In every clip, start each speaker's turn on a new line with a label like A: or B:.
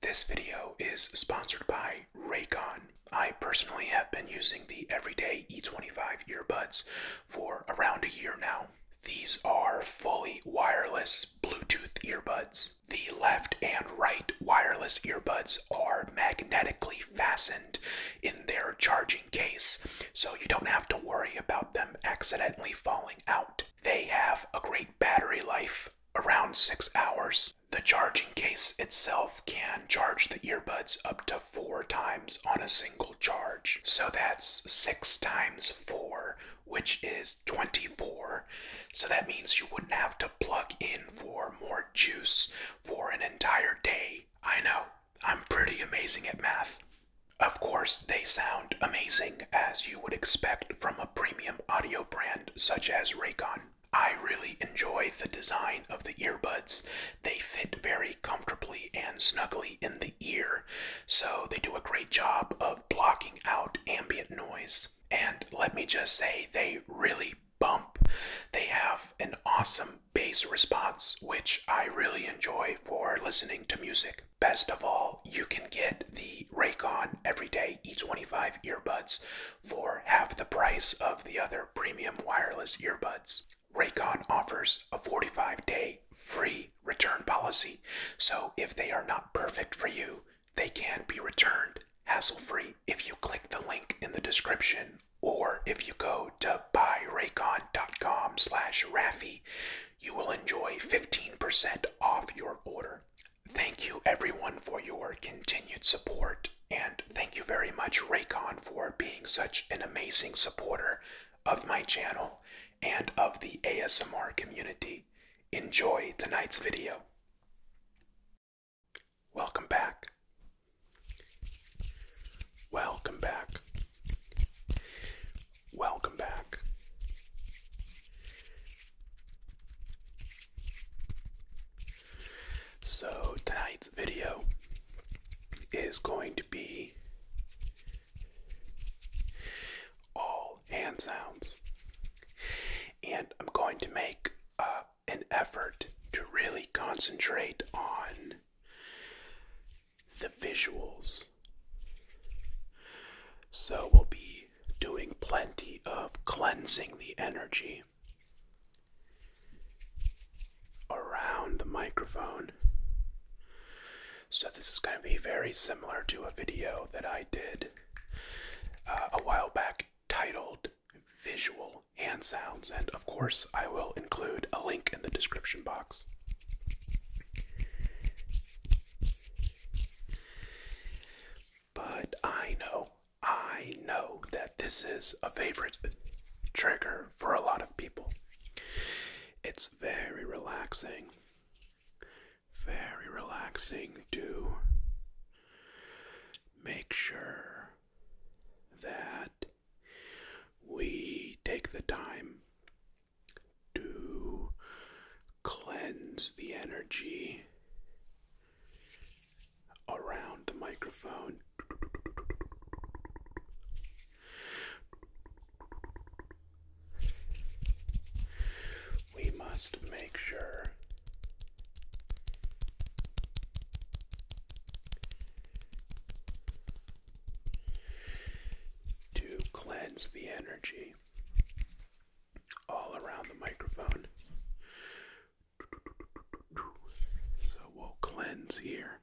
A: This video is sponsored by Raycon. I personally have been using the Everyday E25 earbuds for around a year now. These are fully wireless Bluetooth earbuds. The left and right wireless earbuds are magnetically fastened in their charging case, so you don't have to worry about them accidentally falling out. They have a great battery life, around six hours, the charging case itself can charge the earbuds up to four times on a single charge. So that's six times four, which is 24. So that means you wouldn't have to plug in for more juice for an entire day. I know, I'm pretty amazing at math. Of course, they sound amazing as you would expect from a premium audio brand such as Raycon. I really enjoy the design of the earbuds. They fit very comfortably and snugly in the ear, so they do a great job of blocking out ambient noise. And let me just say, they really bump. They have an awesome bass response, which I really enjoy for listening to music. Best of all, you can get the Raycon Everyday E25 earbuds for half the price of the other premium wireless earbuds. Raycon offers a 45 day free return policy, so if they are not perfect for you, they can be returned hassle free. If you click the link in the description or if you go to buyraycon.com slash Raffy, you will enjoy 15% off your order. Thank you everyone for your continued support, and thank you very much, Raycon, for being such an amazing supporter of my channel and of the ASMR community. Enjoy tonight's video. Welcome back. Welcome back. Welcome back. So, tonight's video is going to be all hand sounds, and I'm going to make uh, an effort to really concentrate on the visuals. So, we'll be doing plenty of cleansing the energy around the microphone. So, this is going to be very similar to a video that I did
B: uh, a while back titled Visual Hand Sounds, and of course,
A: I will include a link in the description box. But I know I know that this is a favorite trigger for a lot of people. It's very relaxing, very relaxing to make sure that we take the time to cleanse the energy around the microphone. We must make sure to cleanse the energy all around the microphone so we'll cleanse here.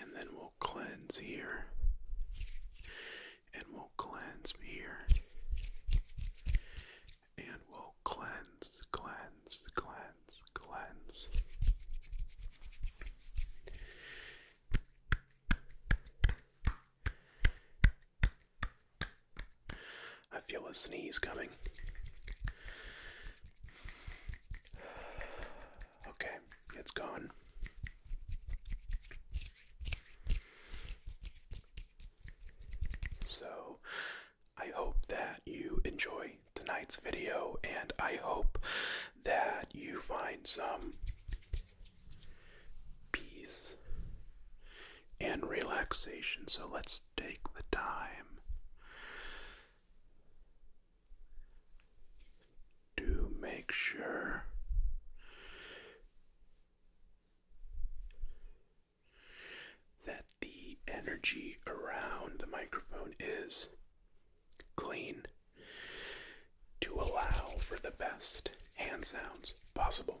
A: And then we'll cleanse here. And we'll cleanse here. And we'll cleanse, cleanse, cleanse, cleanse. I feel a sneeze coming. Okay, it's gone. So, I hope that you enjoy tonight's video, and I hope that you find some peace and relaxation. So let's take the time to make sure that the energy around the microphone is clean to allow for the best hand sounds possible.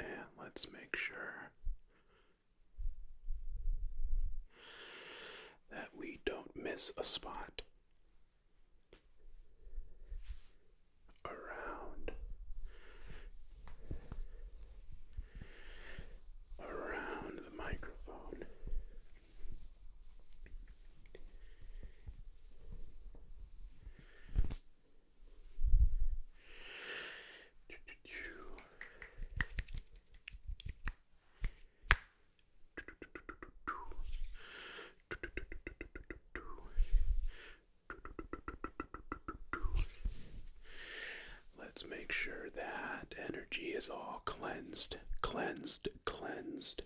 A: And let's make sure that we don't miss a spot around around the microphone Let's make sure that energy is all cleansed, cleansed, cleansed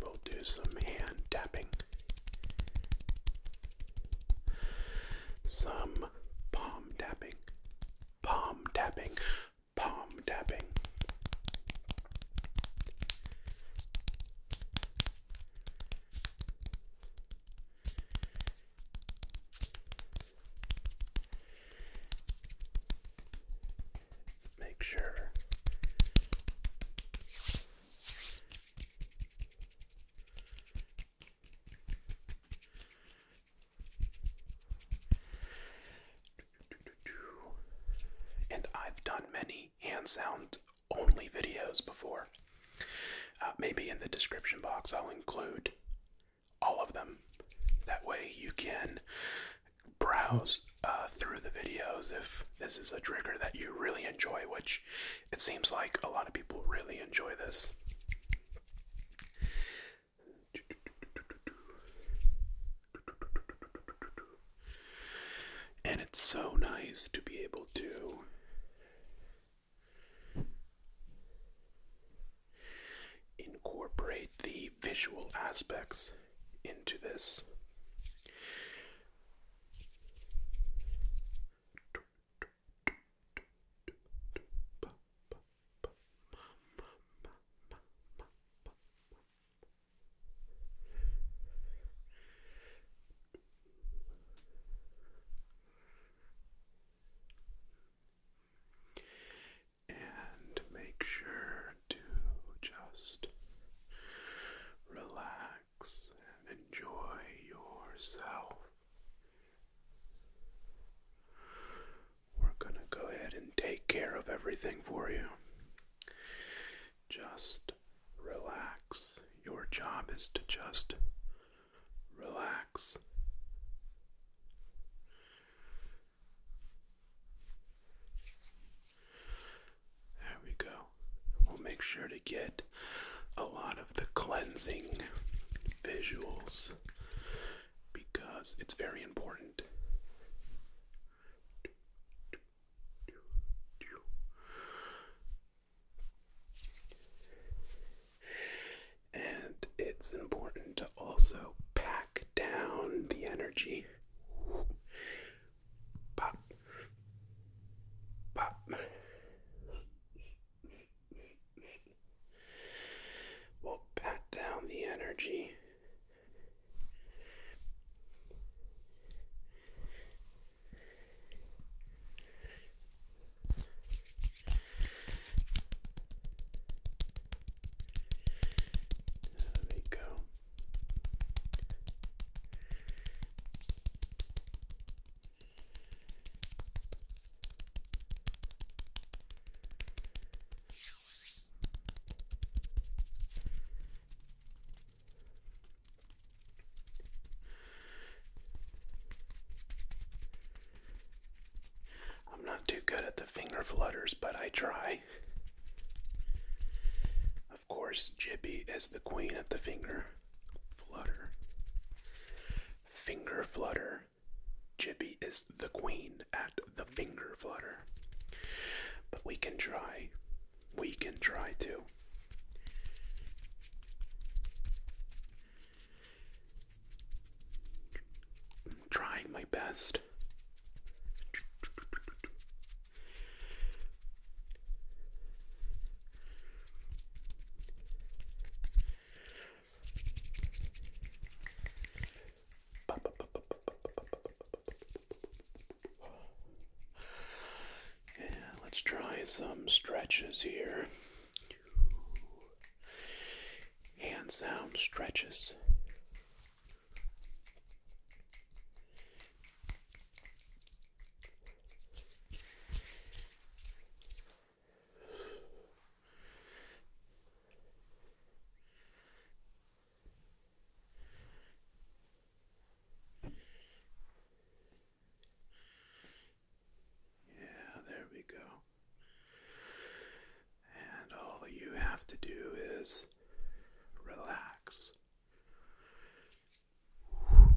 A: we'll do some hand tapping some palm tapping, palm tapping, palm tapping. Let's make sure. And I've done many hand only videos before. Uh, maybe in the description box I'll include all of them. That way you can browse uh, through the videos if this is a trigger that you really enjoy, which it seems like a lot of people really enjoy this. And it's so nice to be able to incorporate the visual aspects into this. And make sure to just relax and enjoy yourself. We're going to go ahead and take care of everything for you. Just relax. Your job is to just relax. There we go. We'll make sure to get a lot of the cleansing visuals because it's very important. And it's important to also pack down the energy. We'll pat down the energy. There we go. I'm not too good at the finger flutters, but I try. Of course, Jibby is the queen at the finger flutter. Finger flutter. Jibby is the queen at the finger flutter. But we can try. We can try to. trying my best let's try some stretches here. Hand sound stretches. Yeah, there we go. And all you have to do is relax. Whew.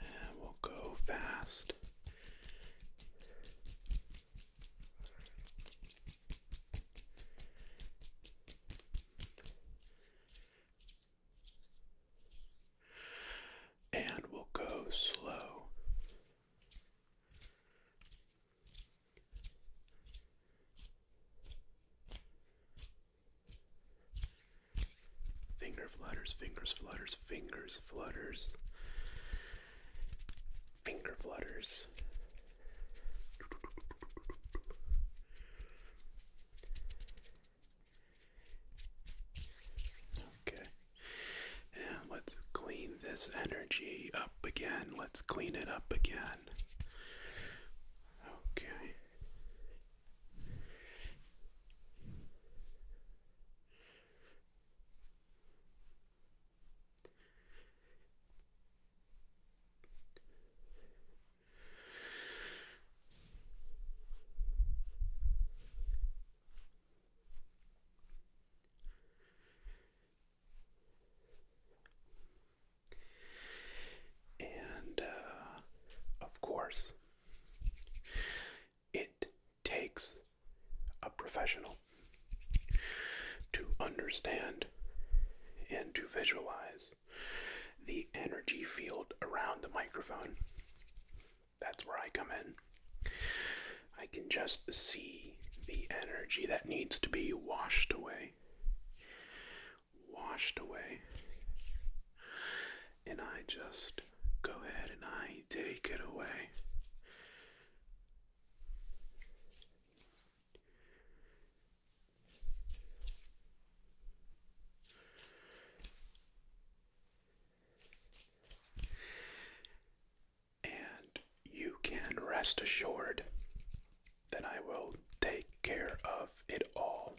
A: And we'll go fast. And we'll go slow. Finger flutters, fingers flutters, fingers flutters, finger flutters. Okay. And let's clean this energy up again. Let's clean it up again. Okay. And uh, of course, it takes a professional to understand and to visualize the energy field around the microphone that's where I come in. I can just see the energy that needs to be washed away. Washed away. And I just go ahead and I take it away. And you can rest assured that I will take care of it all.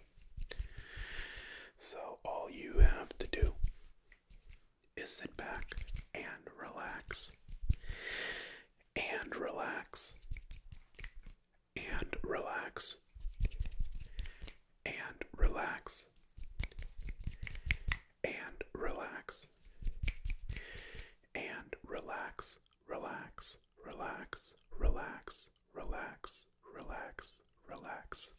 A: So, all you have to do is sit back and relax, and relax, and relax, and relax and relax and relax relax relax relax relax relax relax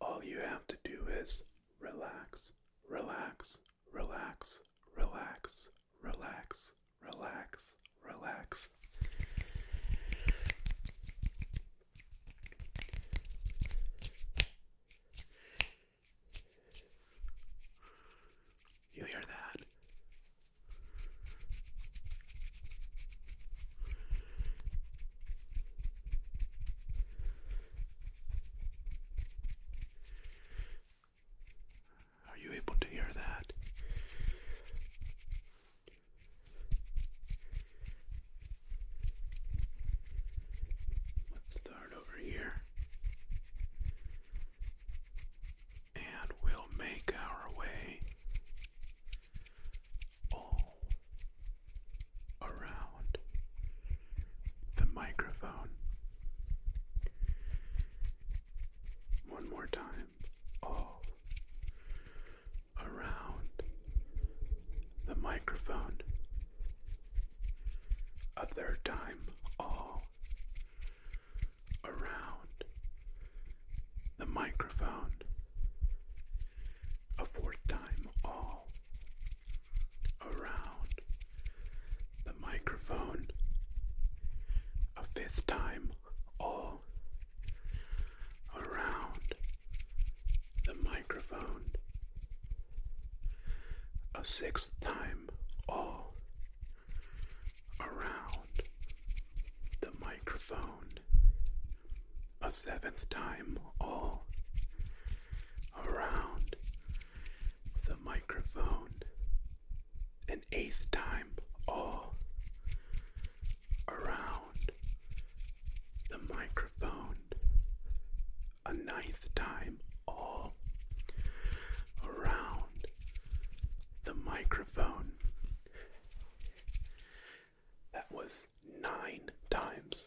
A: all you have to do is relax relax relax, relax, relax, relax, relax. You hear that? Are you able to hear that? Let's start over here. And we'll make our way all around the microphone. One more time, all around the microphone. A third time, all around the microphone. A fourth time, all around the microphone a fifth time all around the microphone a sixth time all around the microphone a seventh time all around the microphone an eighth time all around the microphone, a ninth time all around the microphone. That was nine times.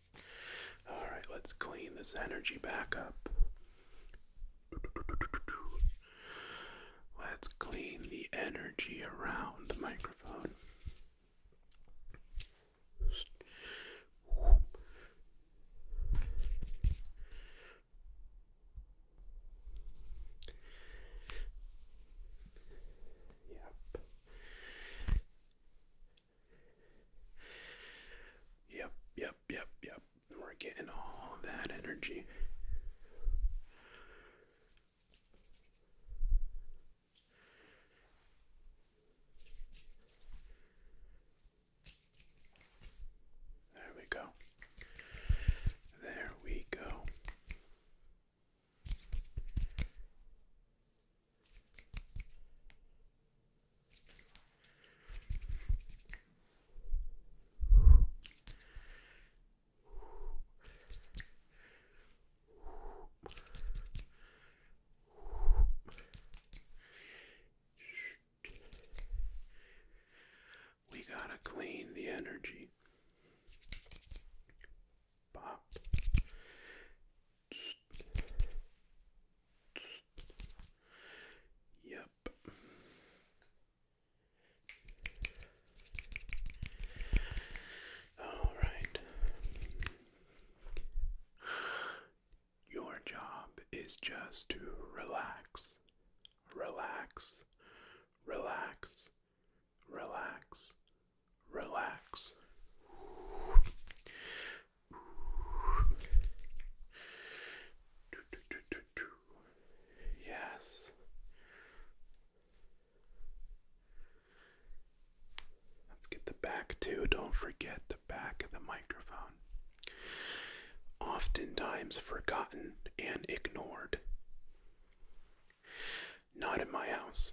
A: All right, let's clean this energy back up. Let's clean the energy around the microphone. Yep. Yep, yep, yep, yep. We're getting all that energy. There we go. There we go. We gotta clean the energy. Yep. All right. Your job is just to relax, relax, relax, relax, relax. Yes. Let's get the back too. Don't forget the back of the microphone. Oftentimes forgotten and ignored. Not in my house.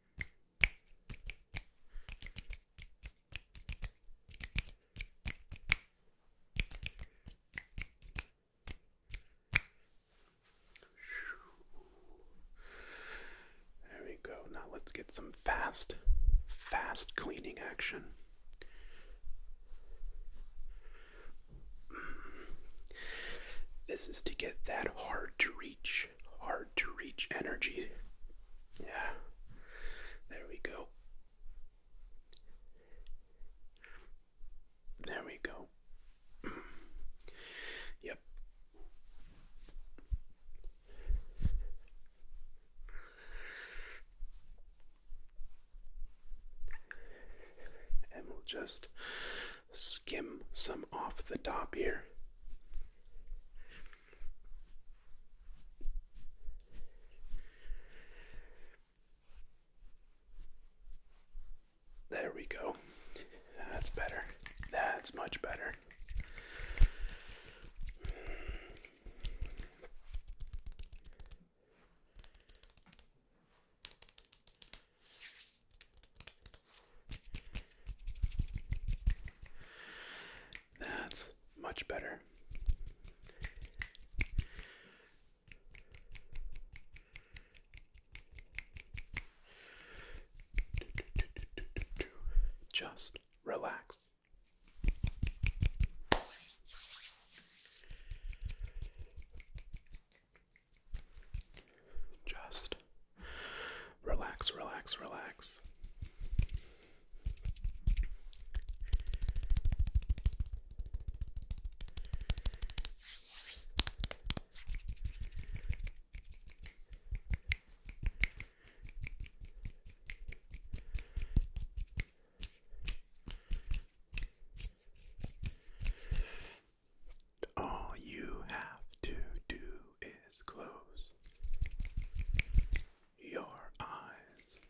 A: There we go. Now let's get some fast, fast cleaning action. This is to get that hard to reach hard to reach energy. Yeah, there we go. There we go. yep. And we'll just skim some off the top here. There we go. That's better. That's much better. That's much better. Just relax. Just Relax, relax, relax. All you have to do is close your eyes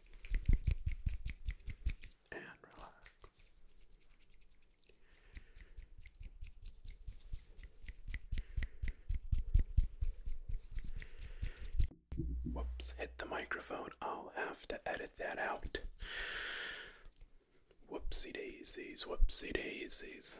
A: and relax. Whoops, hit the microphone. I'll have to edit that out. Whoopsie daisies, whoopsie daisies.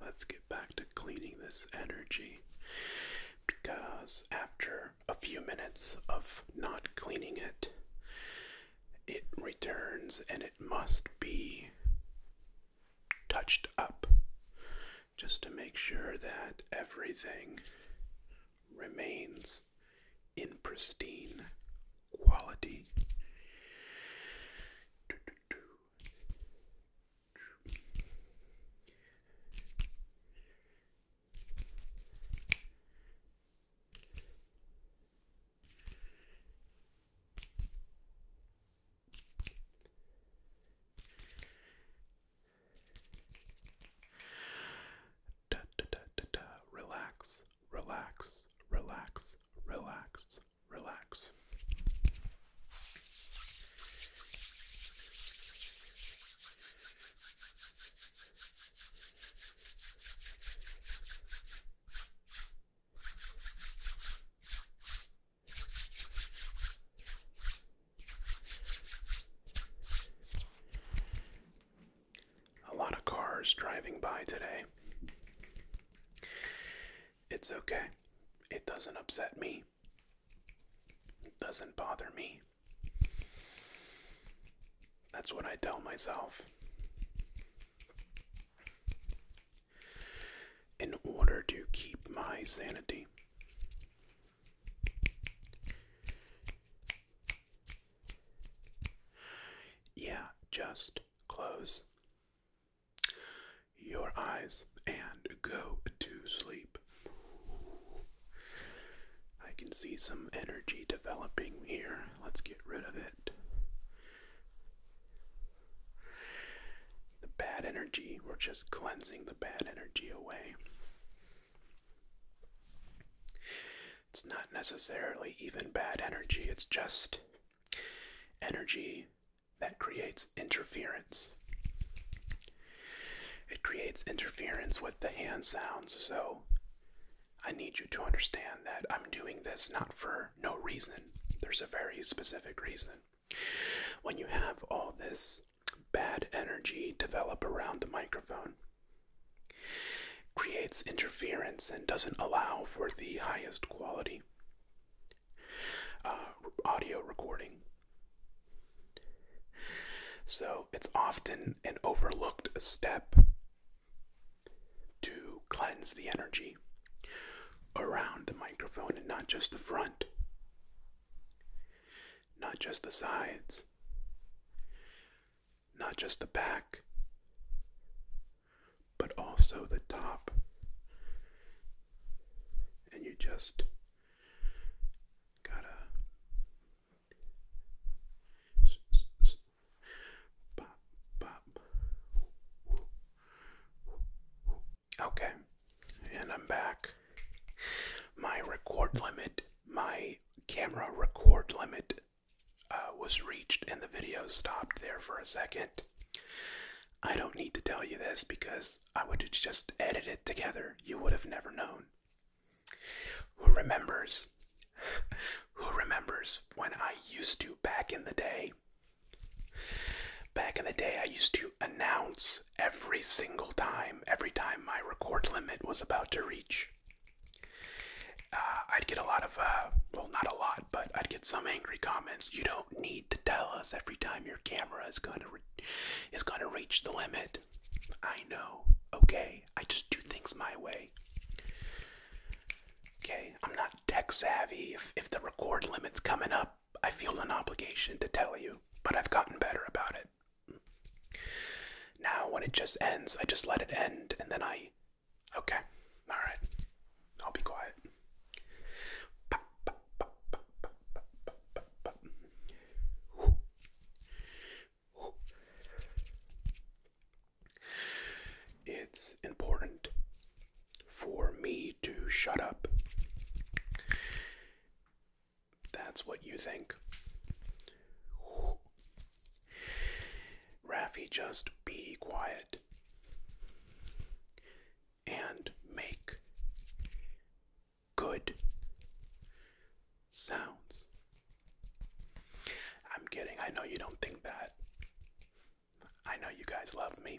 A: Let's get back to cleaning this energy because after a few minutes of not cleaning it, it returns and it must be touched up just to make sure that everything remains in pristine quality. Da, da, da, da, Relax, relax, relax, relax, relax. A lot of cars driving by today. It's okay. It doesn't upset me doesn't bother me. That's what I tell myself. In order to keep my sanity, yeah, just close your eyes and go to sleep. I can see some energy developing here. Let's get rid of it. The bad energy, we're just cleansing the bad energy away. It's not necessarily even bad energy, it's just energy that creates interference. It creates interference with the hand sounds, so I need you to understand that I'm doing this not for no reason. There's a very specific reason. When you have all this bad energy develop around the microphone, creates interference and doesn't allow for the highest quality uh, audio recording. So it's often an overlooked step to cleanse the energy around the microphone and not just the front, not just the sides, not just the back, but also the top. And you just Okay, and I'm back. My record limit, my camera record limit uh, was reached, and the video stopped there for a second. I don't need to tell you this because I would have just edited it together. You would have never known. Who remembers? Who remembers when I used to back in the day? Back in the day, I used to announce every single time, every time my record limit was about to reach. Uh, I'd get a lot of, uh, well, not a lot, but I'd get some angry comments. You don't need to tell us every time your camera is going to is going to reach the limit. I know. Okay, I just do things my way. Okay, I'm not tech savvy. If if the record limit's coming up, I feel an obligation to tell you, but I've gotten better about it. Now, when it just ends, I just let it end, and then I. Okay, alright. I'll be quiet. pop, it's important for me to shut up. That's what you think. Rafi. just be quiet and make good sounds. I'm kidding. I know you don't think that. I know you guys love me.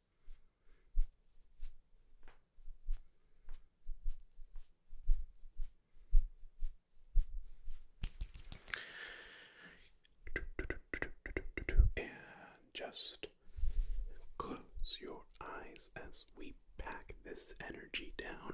A: And just close your eyes as we pack this energy down.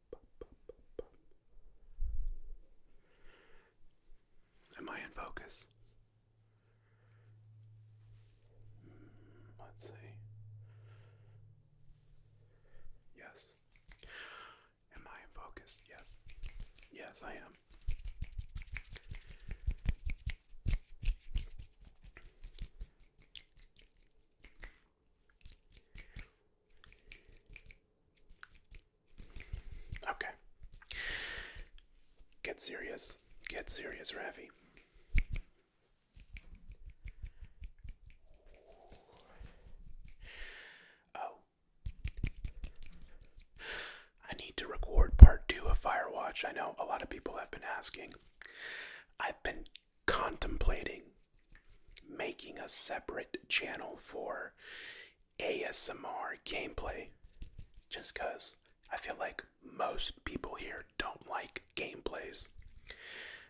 A: Am I in focus? Hmm, let's see. Yes. Am I in focus? Yes. Yes, I am. Okay. Get serious. Get serious, Ravi. Oh. I need to record part two of Firewatch. I know a lot of people have been asking. I've been contemplating making a separate channel for ASMR gameplay just because I feel like most people here don't like gameplays,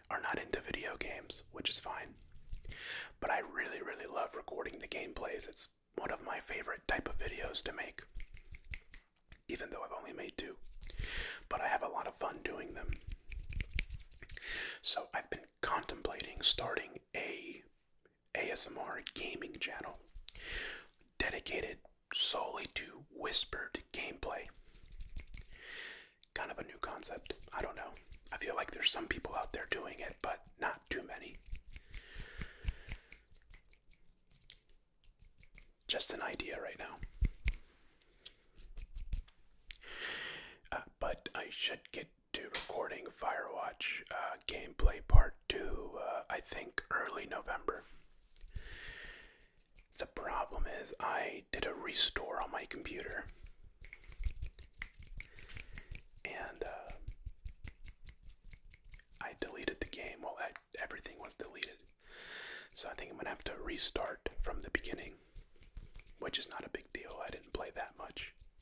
A: are not into video games, which is fine. But I really, really love recording the gameplays. It's one of my favorite type of videos to make, even though I've only made two. But I have a lot of fun doing them. So I've been contemplating starting a ASMR gaming channel dedicated solely to whispered gameplay. Kind of a new concept. I don't know. I feel like there's some people out there doing it, but not too many. Just an idea right now. Uh, but I should get to recording Firewatch uh, gameplay part 2, uh, I think early November. The problem is, I did a restore on my computer. And uh, I deleted the game. Well, everything was deleted. So I think I'm going to have to restart from the beginning, which is not a big deal. I didn't play that much.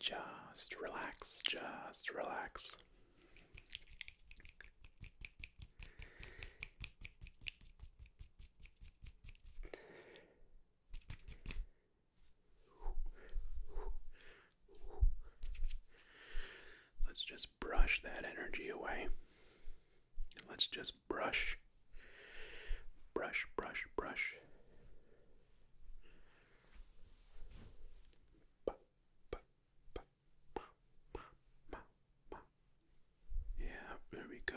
A: Just relax, just relax. Let's just brush that energy away. Let's just brush, brush, brush, brush. Yeah, there we go.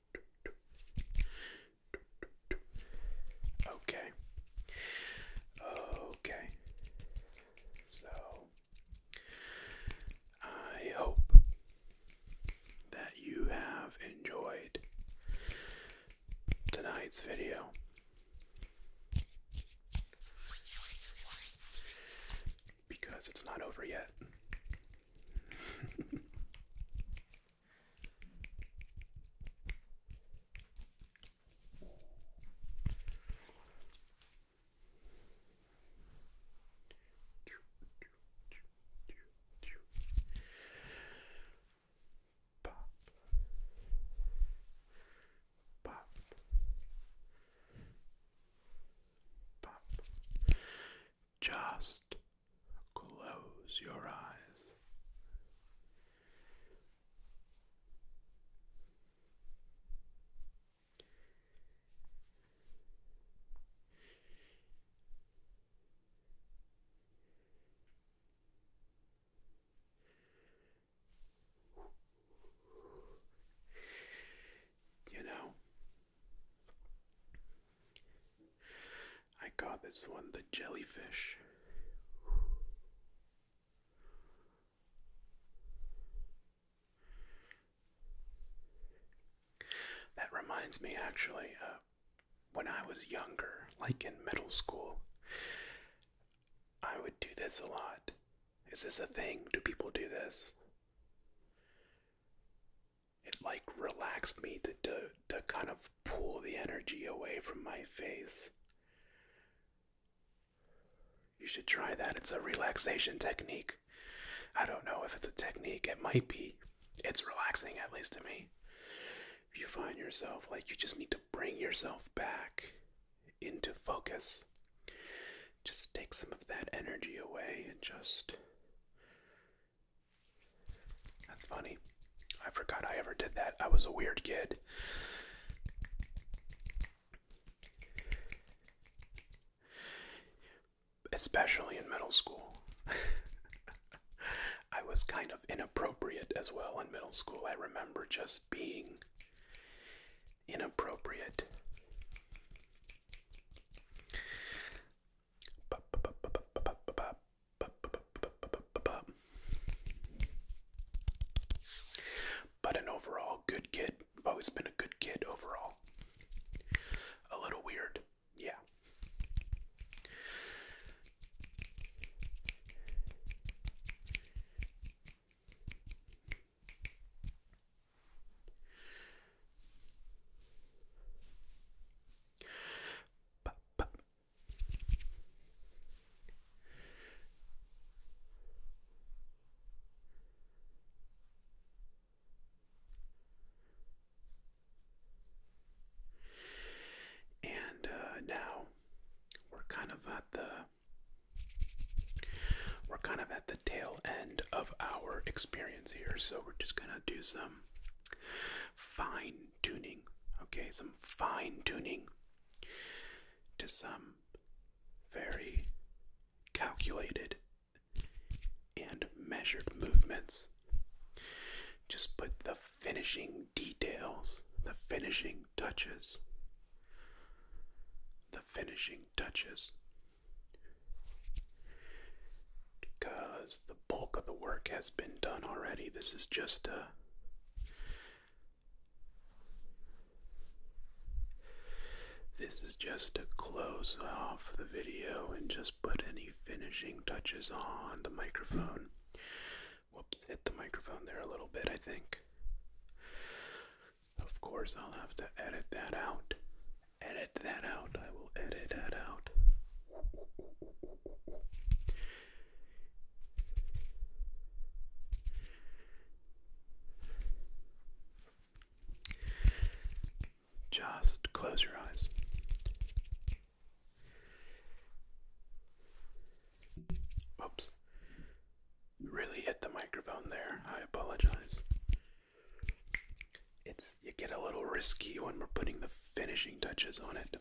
A: Okay. Okay. So I hope that you have enjoyed tonight's video. Because it's not over yet. Pop. Pop. Pop. Just close your eyes. You know, I got this one, the jellyfish. That reminds me actually, uh, when I was younger, like in middle school, I would do this a lot. Is this a thing? Do people do this? it like relaxed me to, to to kind of pull the energy away from my face. You should try that. It's a relaxation technique. I don't know if it's a technique. It might be. It's relaxing at least to me. If you find yourself like you just need to bring yourself back into focus, just take some of that energy away and just that's funny. I forgot I ever did that. I was a weird kid. Especially in middle school. I was kind of inappropriate as well in middle school. I remember just being inappropriate. But an overall good kid. I've always been a good kid overall. A little weird, yeah. And uh, now we're kind of at the we're kind of at the tail end of our experience here, so we're just gonna do some fine tuning, okay, some fine tuning to some very calculated and measured movements. Just put the finishing details, the finishing touches, the finishing touches. Because bulk of the work has been done already. This is just a uh, this is just to close off the video and just put any finishing touches on the microphone. Whoops, hit the microphone there a little bit, I think. Of course, I'll have to edit that out. Edit that out. I will edit that out. Just close your eyes. Oops. Really hit the microphone there. I apologize. It's you get a little risky when we're putting the finishing touches on it.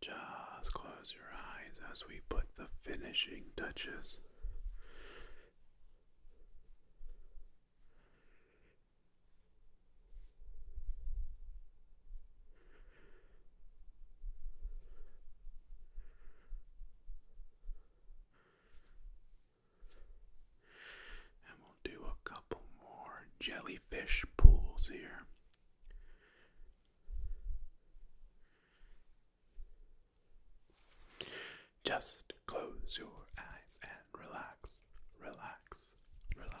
A: Just close your eyes as we put the finishing touches. And we'll do a couple more jellyfish pools here. Just close your eyes and relax, relax, relax.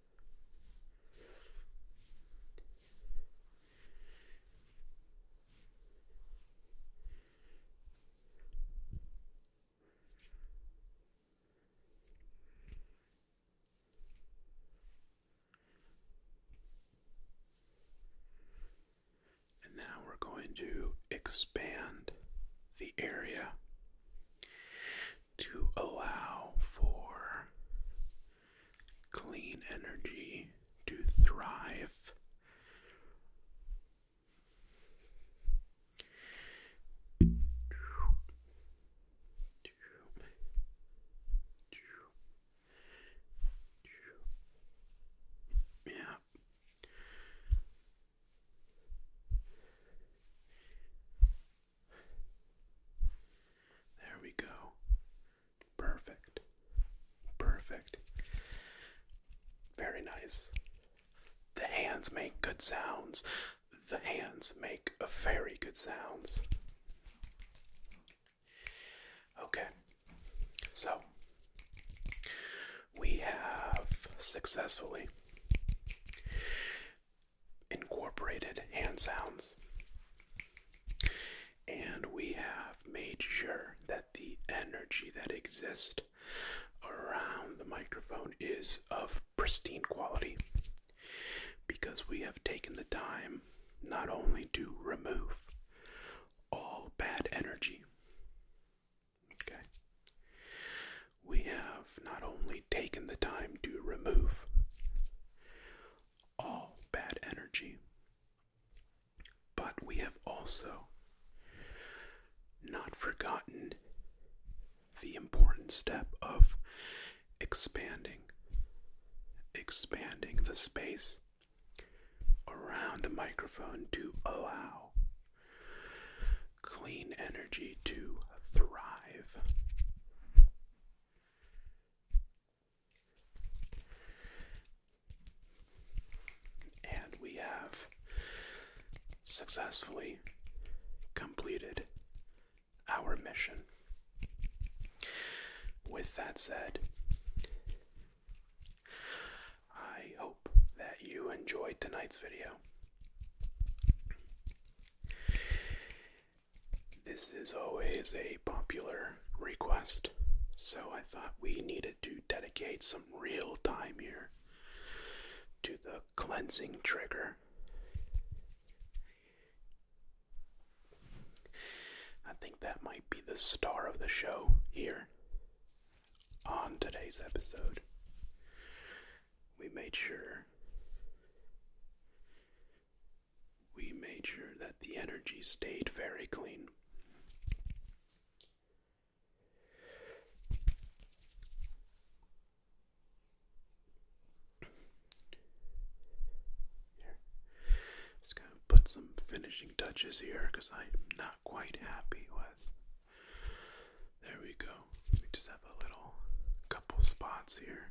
A: And now we're going to expand the area to allow for clean energy to thrive. Yeah. There we go. Perfect. Perfect. Very nice. The hands make good sounds. The hands make a very good sounds. Okay. So, we have successfully incorporated hand sounds. And we have made sure that the energy that exists around the microphone is of pristine quality because we have taken the time not only to remove all bad energy, okay, we have not only actually taken the time to remove all bad energy. But we have also not forgotten the important step of expanding, expanding the space around the microphone to allow clean energy to thrive. And we have successfully completed our mission. With that said, I hope that you enjoyed tonight's video. This is always a popular request, so I thought we needed to dedicate some real time here to the cleansing trigger. I think that might be the star of the show here on today's episode. We made sure we made sure that the energy stayed very clean. Just gonna put some finishing touches here because I'm not quite happy with. There we go. We just have a little couple spots here.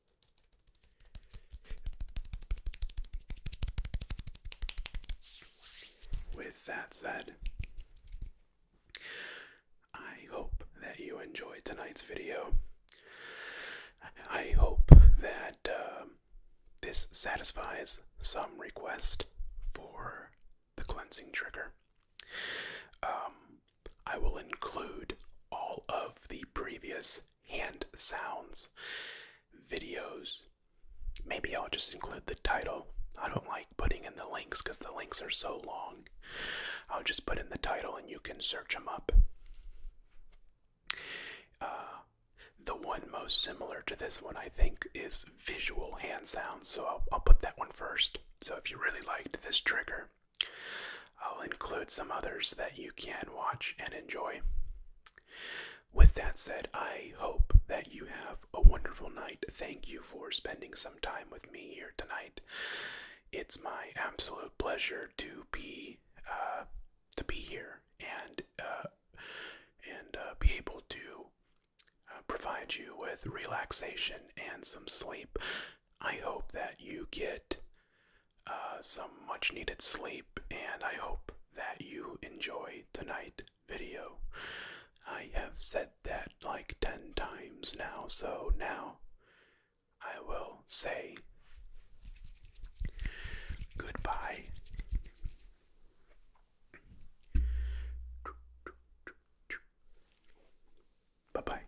A: With that said, I hope that you enjoyed tonight's video. I hope that um, this satisfies some request for the cleansing trigger. Um, I will include all of the previous hand sounds videos. Maybe I'll just include the title. I don't like putting in the links because the links are so long. I'll just put in the title and you can search them up. Uh, the one most similar to this one, I think, is visual hand sounds, so I'll put that one first. So if you really liked this trigger, I'll include some others that you can watch and enjoy. With that said, I hope that you have a wonderful night. Thank you for spending some time with me here tonight. It's my absolute pleasure to be uh, to be here and uh, and uh, be able to provide you with relaxation and some sleep. I hope that you get uh, some much needed sleep, and I hope that you enjoy tonight's video. I have said that like 10 times now, so now I will say goodbye. Bye bye.